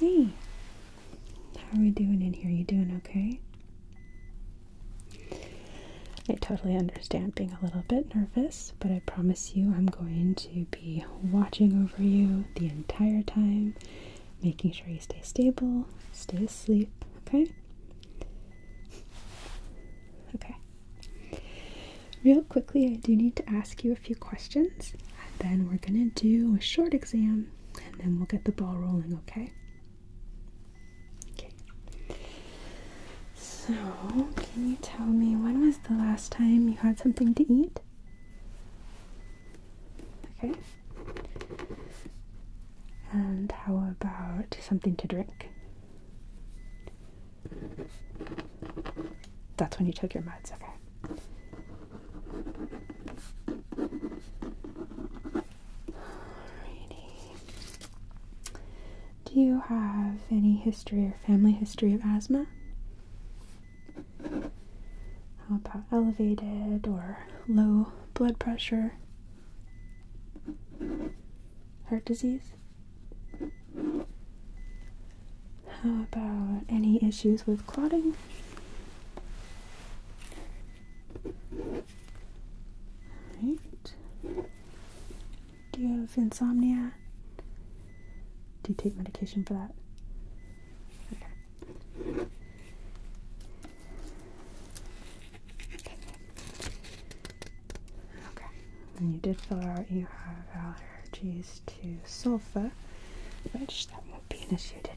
Hey, how are we doing in here? You doing okay? I totally understand being a little bit nervous, but I promise you I'm going to be watching over you the entire time making sure you stay stable, stay asleep, okay? Okay. Real quickly, I do need to ask you a few questions, then we're gonna do a short exam, and then we'll get the ball rolling, okay? Okay. So, can you tell me when was the last time you had something to eat? Okay. And how about something to drink? That's when you took your meds, okay. Do you have any history or family history of asthma? How about elevated or low blood pressure? Heart disease? How about any issues with clotting? Right. Do you have insomnia? Do you take medication for that? Okay, and you did fill out you have allergies to sulfa, which that won't be an issue today.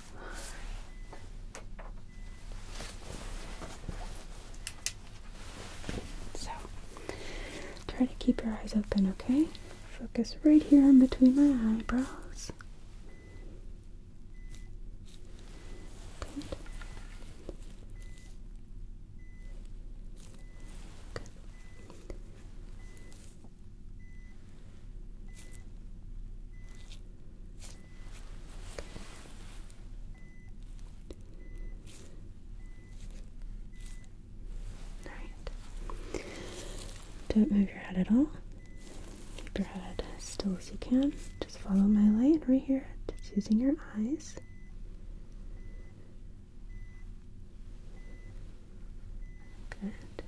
So, try to keep your eyes open, okay? Focus right here in between my eyebrows. Good. Good. Alright. Don't move your head at all. Keep your head as still as you can. Just follow my light right here. Just using your eyes. Good.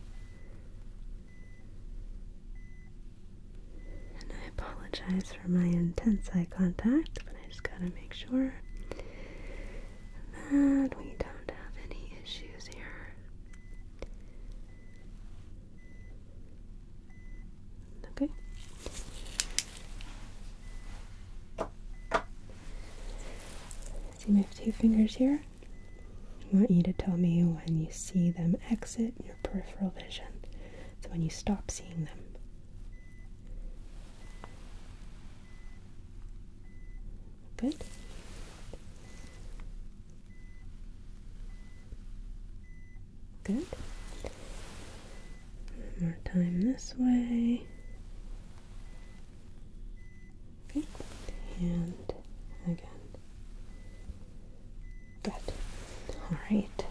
And I apologize for my intense eye contact, but I just gotta make sure that we don't have any issues here. Okay. See have two fingers here? I want you to tell me when you see them exit your peripheral vision. So when you stop seeing them. Good. Good. One more time this way. Okay. And again. Good. All right.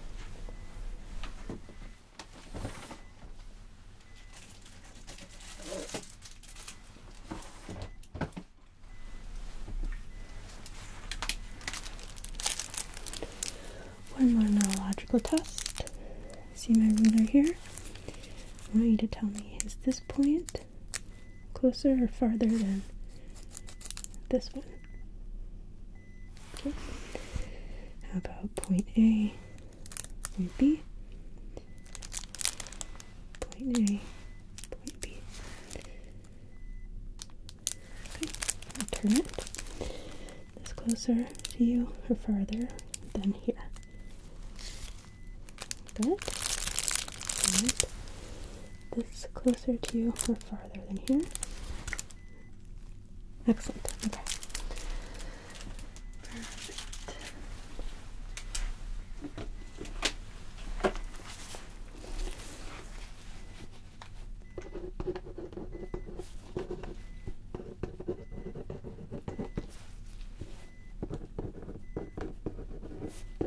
One more neurological test. See my ruler here? I want you to tell me is this point closer or farther than this one? Okay. How about point A, point B, point A, point B? Okay, turn it. This closer to you or farther than here. Good. And this closer to you or farther than here? Excellent. Okay.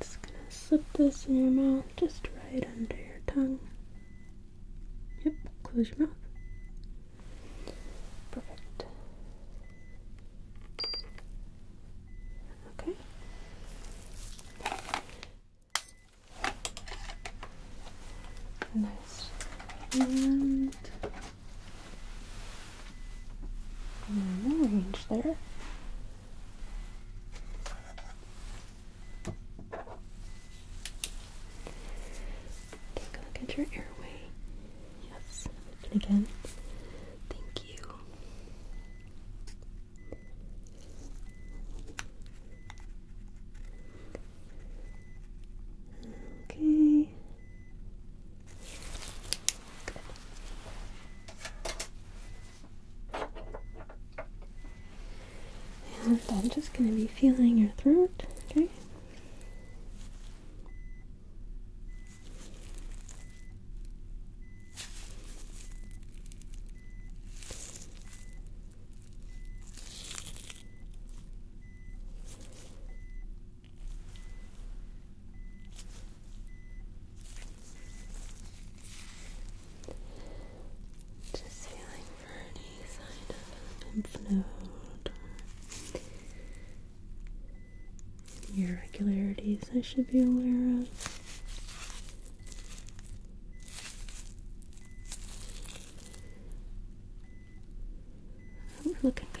Just gonna slip this in your mouth, just right under your tongue. Yep, close your mouth. Perfect. Okay. Nice. And normal range there. Take a look at your airway. Yes. Again. Thank you. Okay. And I'm just going to be feeling your throat, okay? Just feeling for any sign of lymph irregularities I should be aware of. Ooh, looking good.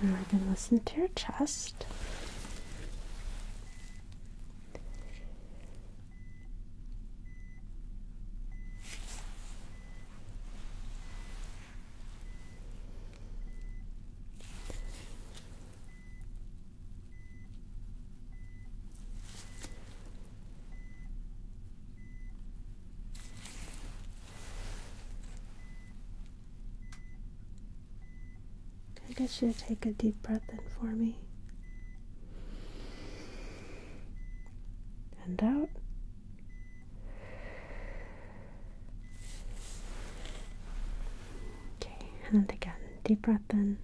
And we're going to listen to your chest. I guess you to take a deep breath in for me. And out. Okay, and again, deep breath in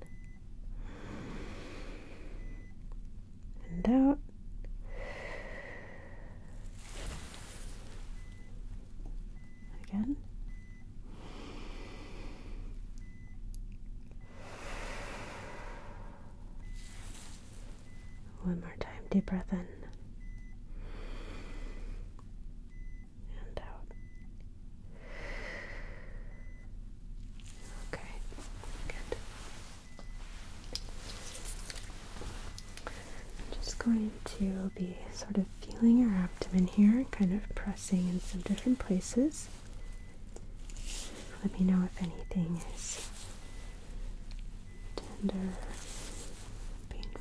and out. Again. One more time, deep breath in. And out. Okay, good. I'm just going to be sort of feeling your abdomen here, kind of pressing in some different places. Let me know if anything is tender, painful.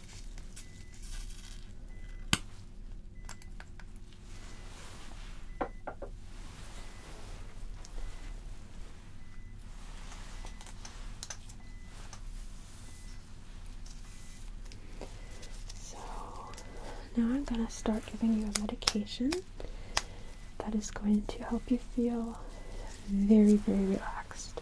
So now I'm going to start giving you a medication that is going to help you feel very, very relaxed.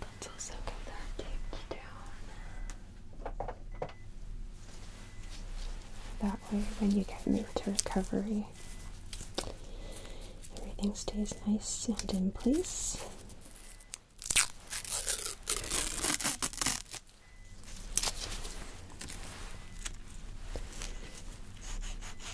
Let's also go that tape down. That way, when you get moved to recovery, everything stays nice and in place.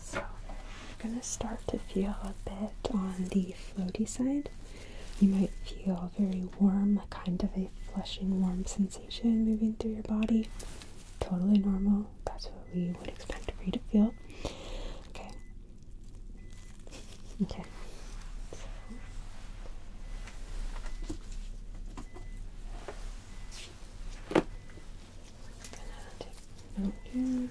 So you're going to start to feel a bit on the floaty side. You might feel very warm, kind of a flushing warm sensation moving through your body. Totally normal. That's what we would expect for you to feel. Okay. Okay gonna take note here. Okay.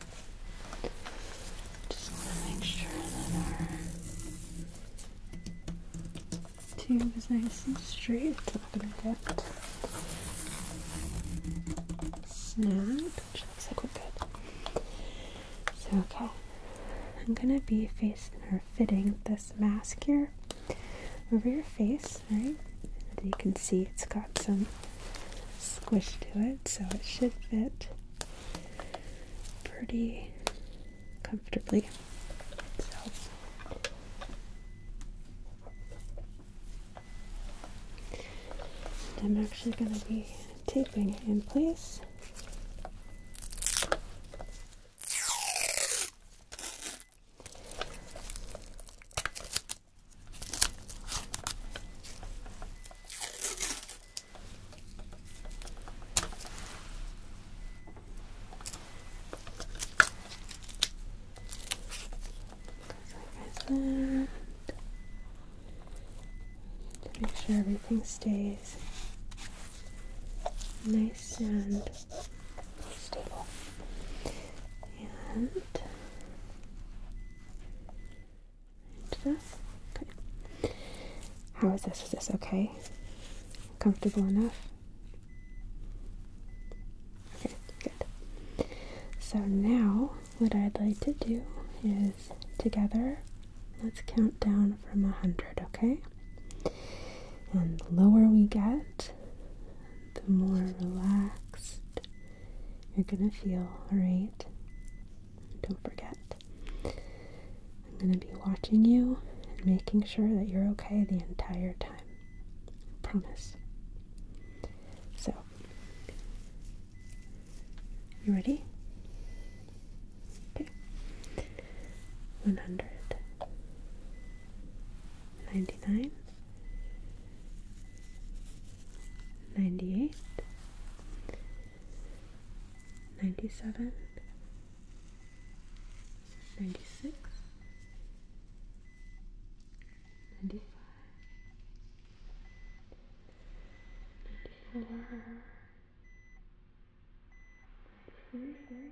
Just want to make sure that our tube is nice and straight. It's not going to get snapped, So, okay. I'm going to be facing or fitting this mask here over your face, right? you can see, it's got some squish to it, so it should fit pretty comfortably. I'm actually going to be taping it in place. Just like I said, to make sure everything stays nice and stable. And Okay. How is this? Is this okay? Comfortable enough? Okay, good. So now what I'd like to do is together let's count down from a hundred, okay? And the lower we get, the more relaxed you're gonna feel, alright? Don't forget. I'm gonna be watching you and making sure that you're okay the entire time. I promise. So, you ready? Okay. 100 98 97 96 95 94 93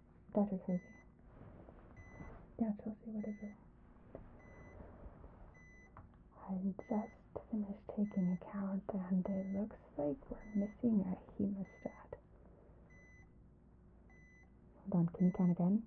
That's Crazy. Yeah, Chelsea, whatever. I just finished taking a count, and it looks like we're missing a hemostat. Hold on, can you count again?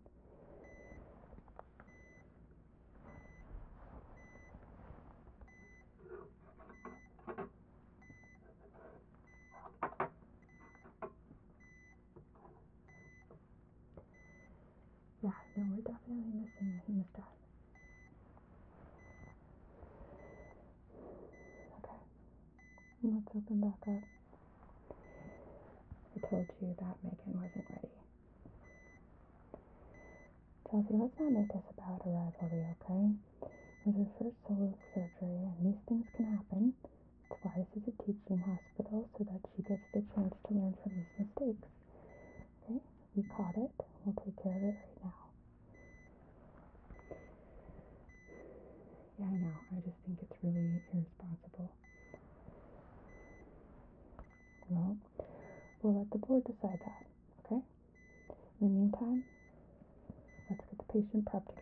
Yeah, no, we're definitely missing a hemostat. Okay, let's open back up. I told you that Megan wasn't ready. Chelsea, let's not make this about a rivalry, okay? Johnson her first solo surgery, and these things can happen. It's why this is a teaching hospital so that she gets the chance to learn from these mistakes. Okay, we caught it. We'll take care of it right now. Yeah, I know. I just think it's really irresponsible. Well, we'll let the board decide that, okay? In the meantime, Let's get the patient prepped again.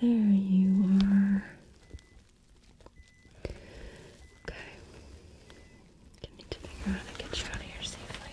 There you are. Okay. I need to figure out get you out of here safely.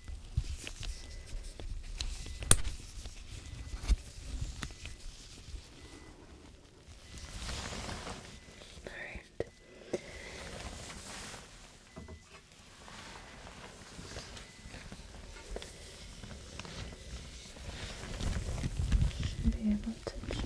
All right. Should be able to just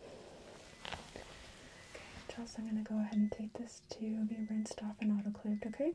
Okay, Chelsea, I'm going to go ahead and take this to be rinsed off and autoclaved, okay? Okay,